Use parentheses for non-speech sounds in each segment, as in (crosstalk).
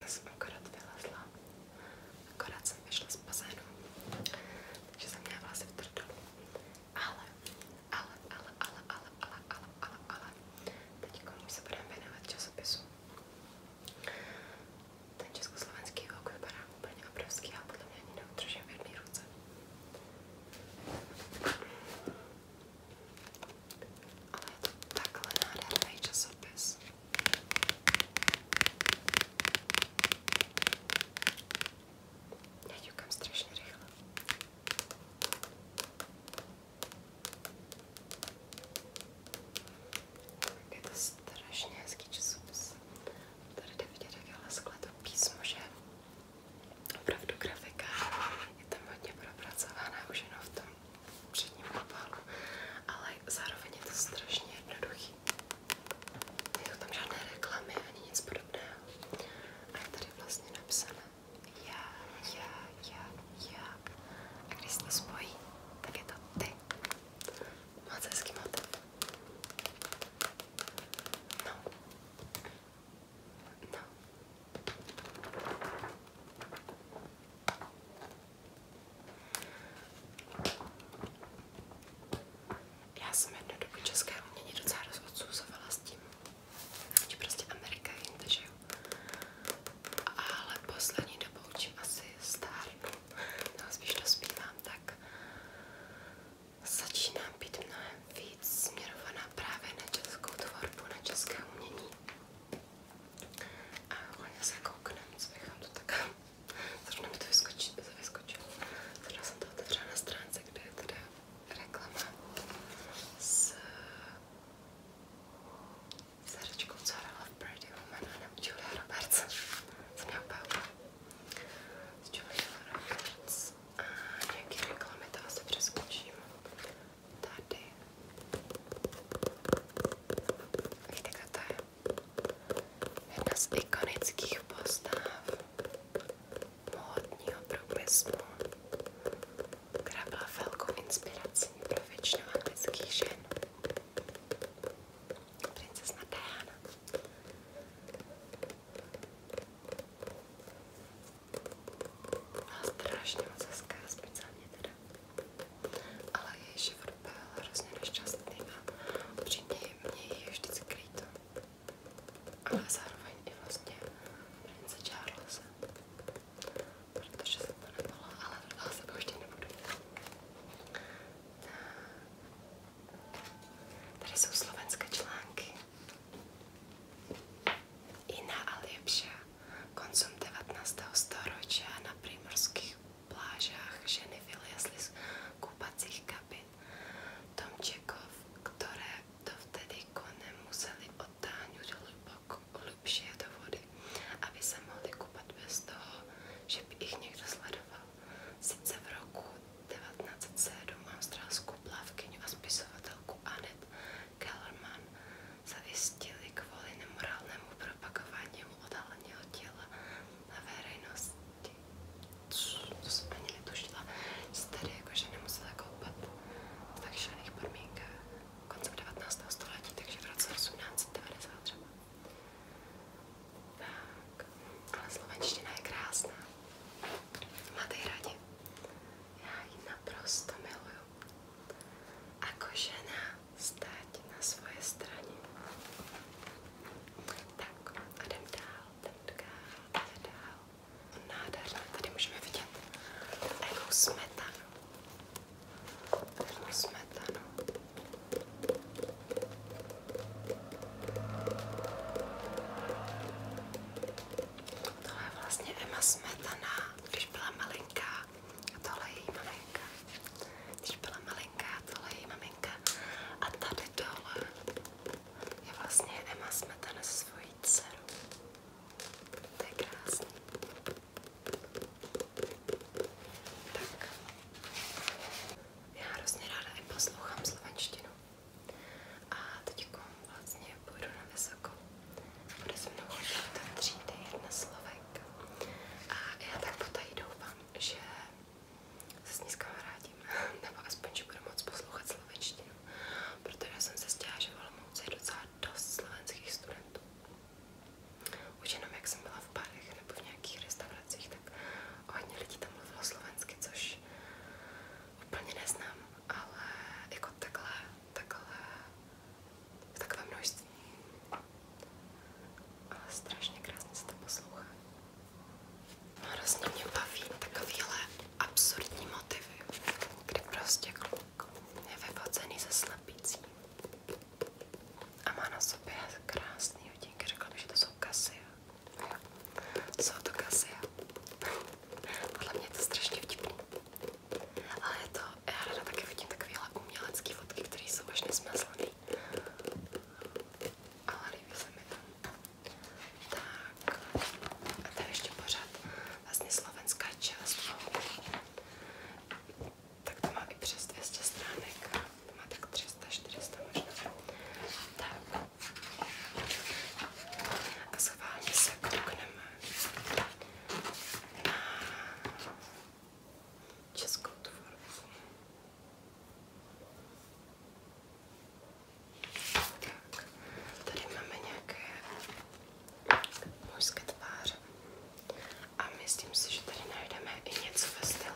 Já jsem akorát vylezla, akorát jsem vyšla z bazénu, takže jsem měla vlasy v trdolu. Ale, ale, ale, ale, ale, ale, ale, ale, ale, teď komu se budeme věnovat časopisu. Ten československý vok vypadá úplně obrovský, ale podle mě ani neudržím v jedné ruce. Ale je to takhle nádherný časopis. Já ťukám strašně rychle. Je to strašně hezký časopis. Tady jde vidět, jak je leskle to písmo, že opravdu grafika je tam hodně propracovaná už jenom v tom před ním obal, ale zároveň je to strašně jednoduchý. Nejsou tam žádné reklamy ani nic podobného. A je tady vlastně napsané já, já, já, já. A když se to spojí, tak je to ty. Moc hezký motiv. No. No. Já jsem jednu dobu české umění docela rozodsuzovala s tím, že prostě Amerika je jinde, že jo. Ale poslední dobou, čím asi stárnu, (laughs) no spíš dospívám, tak začínám být mnohem víc směrovaná právě na českou tvorbu, na české umění. A hlavně se kouknem, co bychom to tak... Zrovna mi to vyskočilo, vyskočilo. Zrovna jsem to otevřela na stránce, kde je teda reklama s zařečkou, co hrála v Pretty Woman a nebo Julia Roberts. Jsem měla Paula. Z Julia Roberts. A nějaký reklamy, to asi přeskočím. Tady Víte, kdo to je? Jedna z ikonických postav módního průmyslu, která byla velkou inspirací pro většinu anglických žen. Princezna Diana. Byla strašně moc hezká, speciálně teda ale její život byl hrozně nešťastný a upřímně mě je vždycky líto. Ale zároveň i vlastně prince Charlesa, protože jsem to nebyla, ale dala se to ještě nebudu. Tady jsou slovenské články. Iná a lepšia koncom 19. storočia na primorských plážách ženy vylezly z kupacích kabin. Tomčekov, které dovtedy konem museli otáhnout hluboko, hlubšie do vody, aby se mohli kupat bez toho, že by jich někdo sledoval. Sice v roku 1907 australskou plavkyňu a spisovatelku Annette Kellerman zajistili kvůli nemorálnému propagování jenom odhaleného těla na veřejnosti. To jsem ani netušila, že se tak šalených podmínkách eh, koncem 19. století, takže v roce 1890 třeba. Tak, ale slovenština je krásná. Máte rádi? Já ji naprosto miluju. Ako žena stát na svoje straně. Tak a jdem dál, jdem dál, jdem dál. Nádherné, tady můžeme vidět takovou smetanu. Takovou smetanu. Tohle je vlastně Emma Smetana, když byla malinká a tohle je její maminka. Když byla malinká, tohle je její maminka. A tady dole je vlastně Emma Smetana se svojí dcerou. To je krásný. Tak. Já hrozně ráda i poslouchám slovenštinu. A teď jako vlastně půjdu na vysokou. Bude se mnou chodit do třídy jedna Slovenka. A já tak potají doufám, že se s ní zkamarádím, (laughs) nebo aspoň, že budu moc poslouchat slovenštinu, protože jsem se stěla, že v Olomouci je docela dost slovenských studentů. Už jenom jak jsem byla v barech nebo v nějakých restauracích, tak hodně lidí tam mluvilo slovensky, což úplně neznám, ale jako takhle, takhle v takovém množství. strašně krásně se to poslouchá. Hrozně mě baví absurdní motivy, kdy prostě kluk je vyfocený ze slepicí a má na sobě krásný hodinky. Řekla mi, že to jsou kasy. Jsou to kasy. Podle mě to strašně vtipný. Ale to, já ráda taky vidím takovéhle umělecké fotky, které jsou až nesmyslné líbí. Ale líbí se mi to. Tak, a to je ještě pořád vlastně slovenská část. Tak to má i přes 200 stránek, to má tak 300-400 možná. Tak. A schválně se koukneme na českou tvorbu. Tak, tady máme nějaké mužské tváře a myslím si, že tady najdeme i něco ve stylu.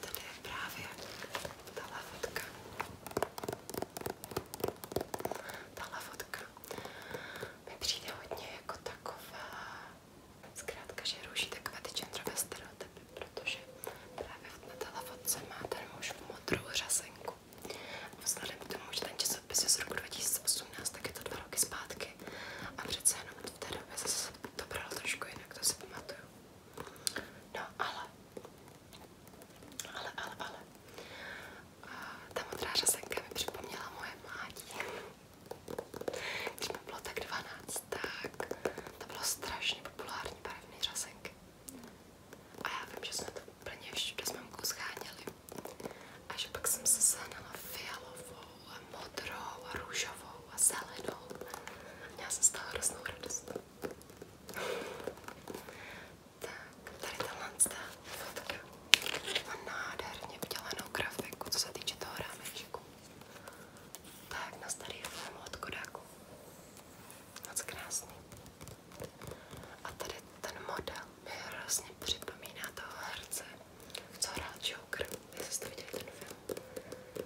Tady je právě ta fotka. Ta fotka mi přijde hodně jako taková, zkrátka, že ruší takové ty genderové stereotypy, protože právě na té lavodce má ten muž modrou řasenku. Vzhledem k tomu, že ten časopis je z roku 2018, tak je to dva roky zpátky a přece jenom v té době zase to bralo trošku jinak, to si pamatuju. No ale, ale, ale, ale, a ta modrá řasenka mi připomněla moje mládí. Když bylo tak 12, to bylo strašně populární barevné řasenky. A já vím, že jsme to úplně všude s mamkou scháněli. A že se sehnala fialovou a modrou a růžovou z toho hroznou tak, tady tenhle má nádherně udělanou grafiku, co se týče toho rámečku. Tak, na starý film od Kodaku. Moc krásný. A tady ten model mi hrozně připomíná toho herce, co hrál Joker. Jestli jste viděli ten film.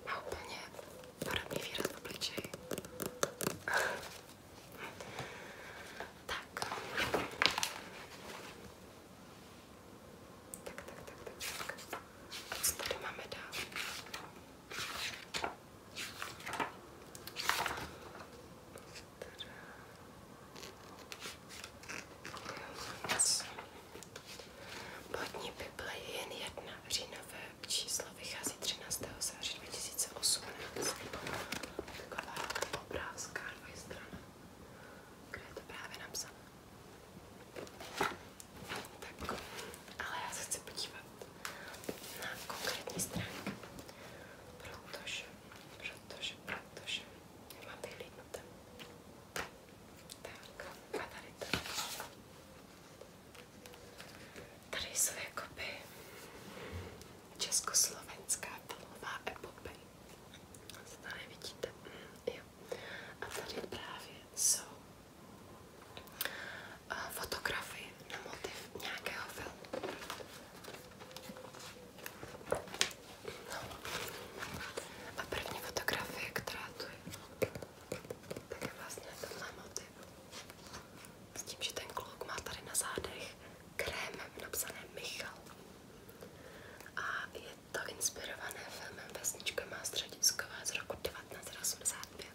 Má úplně podobný výraz v obličeji. tak. Tak, tak, tak, tak, tak. A co tady máme dál? Podní Bible je jen jedna. Říjnové číslo vychází 13. září 2018. Taková obrázka dvojstrana kde je to právě napsané. Tak, ale já se chci podívat na konkrétní stránky, protože, protože, protože já mám vyhlídnuté. československá filmová epopej. Co tady vidíte? Mm, jo. A tady právě jsou eh, fotografie na motiv nějakého filmu. No. A první fotografie, která tu je, tak je vlastně tenhle motiv. S tím, že ten kluk má tady na zádech krémem napsané Michal. A je to inspirované filmem Vesnička má středisková z roku 1985.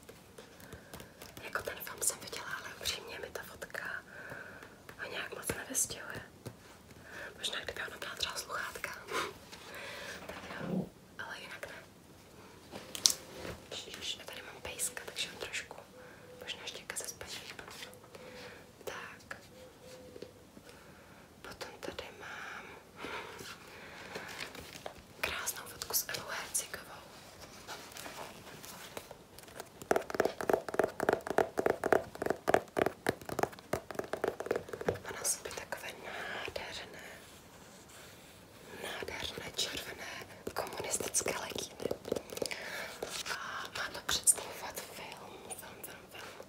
Jako ten film jsem viděla, ale upřímně mi ta fotka ho nějak moc nevystihuje. Možná kdyby ona byla třeba sluchátka. tak jo, ale jinak ne. Já tady mám pejska, takže on trošku, možná ještě se spaní. Tak, Potom tady mám krásnou fotku s Elou Hercikovou. Má na sobě takové nádherné, nádherné červené komunistické legíny. A má to představovat film, film, film, film.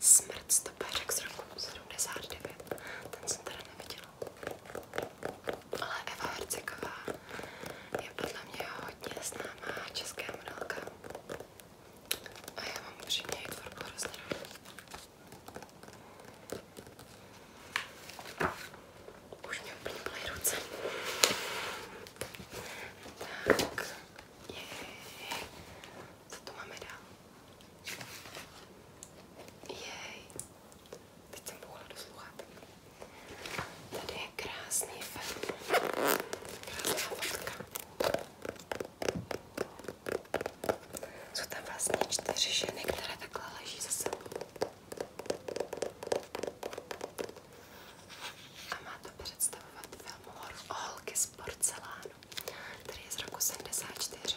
Smrt stopéřek z roku 79. Ten jsem teda neviděla. Ale Eva Herceková je podle mě hodně známá česká modelka. A já mám upřímně její tvorbu hrozně Už mě úplně byly ruce. Tak, jej co to máme dál? Jej, teď jsem bouhla do sluchátek. Tady je krásný film, krásná fotka. Jsou tam vlastně čtyři ženy, které takhle leží za sebou. A má to představovat film Holky z z porcelánu, který je z roku 74.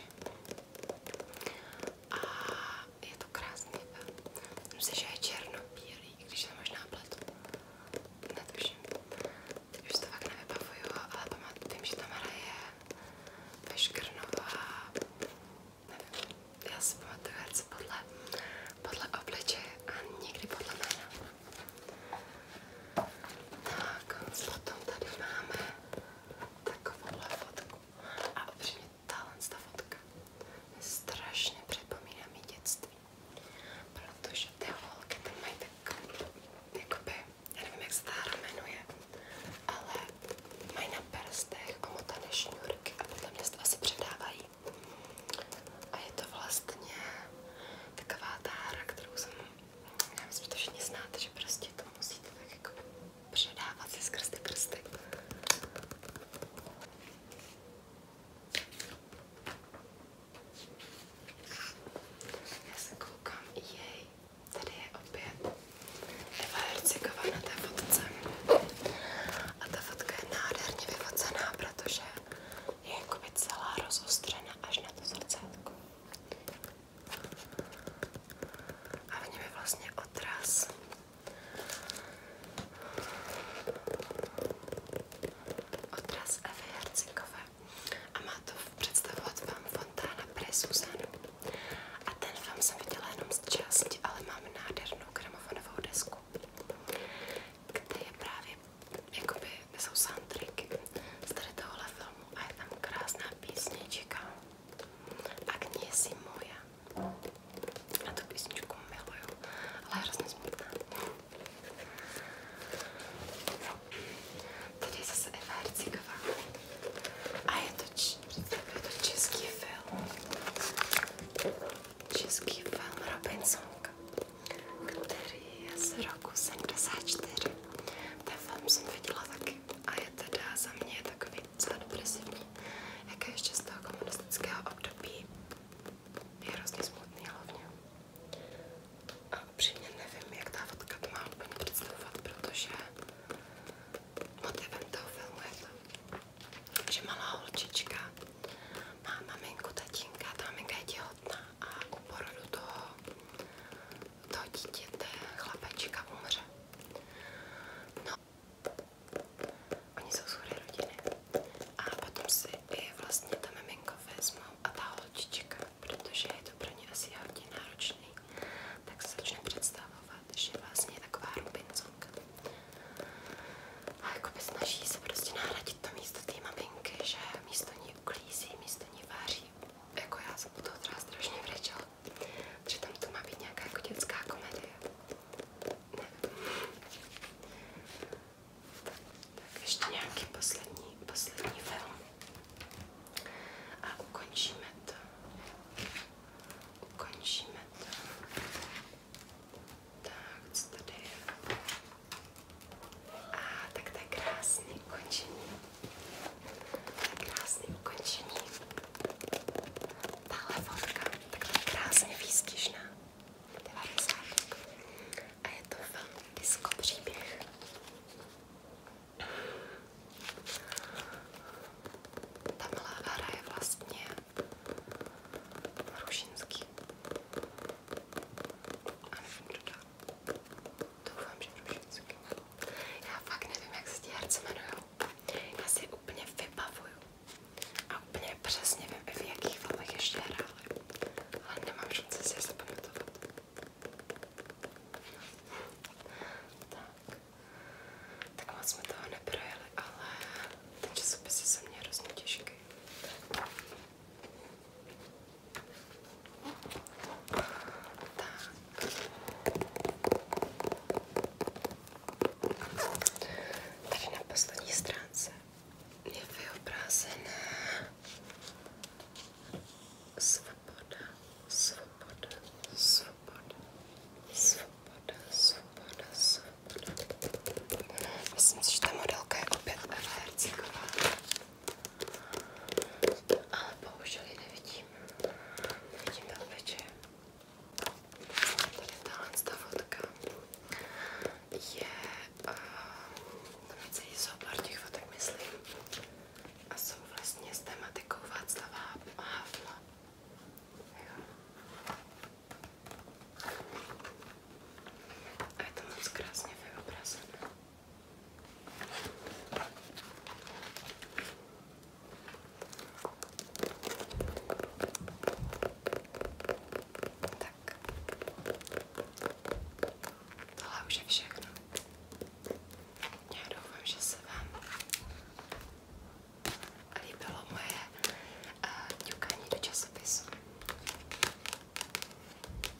A je to krásný. Myslím si, že je černobílý, když to možná pletu. Netuším. Teď už to fakt nevybavuju, ale pamatuju, vím, že tam hraje Veškrnová. Nevím, já si pamatuju herce podle, podle obličeje a nikdy podle jména. Tak, potom tady máme takovouhle fotku. A upřímně, tahle ta fotka mě strašně připomíná mi dětství. Protože ty holky tam mají tak, jakoby, já nevím, jak se ta hra jmenuje, ale mají na prstech omotané šňůrky a podle mě se to asi předávají. A je to vlastně taková ta hra, kterou jsem já myslím, že to všichni znáte, že prostě to musíte tak jako předávat si skrz ty prsty. Já se koukám, jej, tady je opět Eva Herciková na té fotce. A ta fotka je nádherně vyfocená, protože je jakoby celá rozostřena až na to srdcátko. A v něm je vlastně odraz odraz Evy Hercikové. A má to představovat vám Fontána pre Susanu. A ten film jsem viděla jenom z části, ale mám nádhernou gramofonovou desku, kde je právě jakoby jsou soundtracky z tady tohohle filmu a je tam krásná písnička Agnie Simoja. A tu písničku miluju, ale je hrozně smutná. Tady je zase Eva Herciková. A je to, č je to český film. Český film Robinsonka který je z roku 74. Ten film jsem viděla taky a je teda za mě takový docela depresivní, jak je ještě z toho komunistického období. Je hrozně smutný hlavně. A upřímně nevím, jak ta fotka to má úplně představovat, protože motivem toho filmu je to, že malá holčička má maminku, tatínka, ta maminka je těho těhotná a u porodu toho, toho dítěte umře. No, oni jsou schody rodiny. A potom si i vlastně ta vezmou a ta holčička, protože je to pro ně asi hodně náročný, tak se začne představovat, že vlastně je taková rubincovka. A jakoby snaží se prostě nahradit to místo té maminky, že místo ní mě uklízí, místo ní váří. Jako já jsem u toho teda strašně vrečela, protože tam to má být nějaká jako dětská komedie. Nevím. Tak, tak ještě nějaký poslední, poslední film. A ukončíme to. Ukončíme to. Tak, co tady je? A tak to je krásné ukončení. Krásné ukončení. Tahle fotka, takhle krásně výstižná. 90. A je to film Disco příběh. Ta malá hra je vlastně Rušinský. A nevím, kdo dá. Doufám, že už všechny. Já fakt nevím, jak se ti herci jmenujou. Já si úplně vybavuju. A úplně přesně vím, v jakých filmech ještě hráli. Ale nemám šanci si je zapamatovat. Tak. Tak moc jsme toho neprojeli, ale ten časopis je se mně hrozně těžký. Tady na poslední stránce je vyobrazená svoboda, svoboda, svoboda, svoboda, svoboda, svoboda. Myslím si, že ta modelka je opět Elerciková ale bohužel ji nevidím. Vidím tam večer. Tady tahle fotka je, uh, tam je celý soubor těch fotek, myslím, a jsou vlastně s tematikou Václava Havla. Jo. A je to moc krásně vyobrazené. Tak. Tohle už je všechno. Já doufám, že se vám líbilo moje eh, ťukání uh, do časopisu.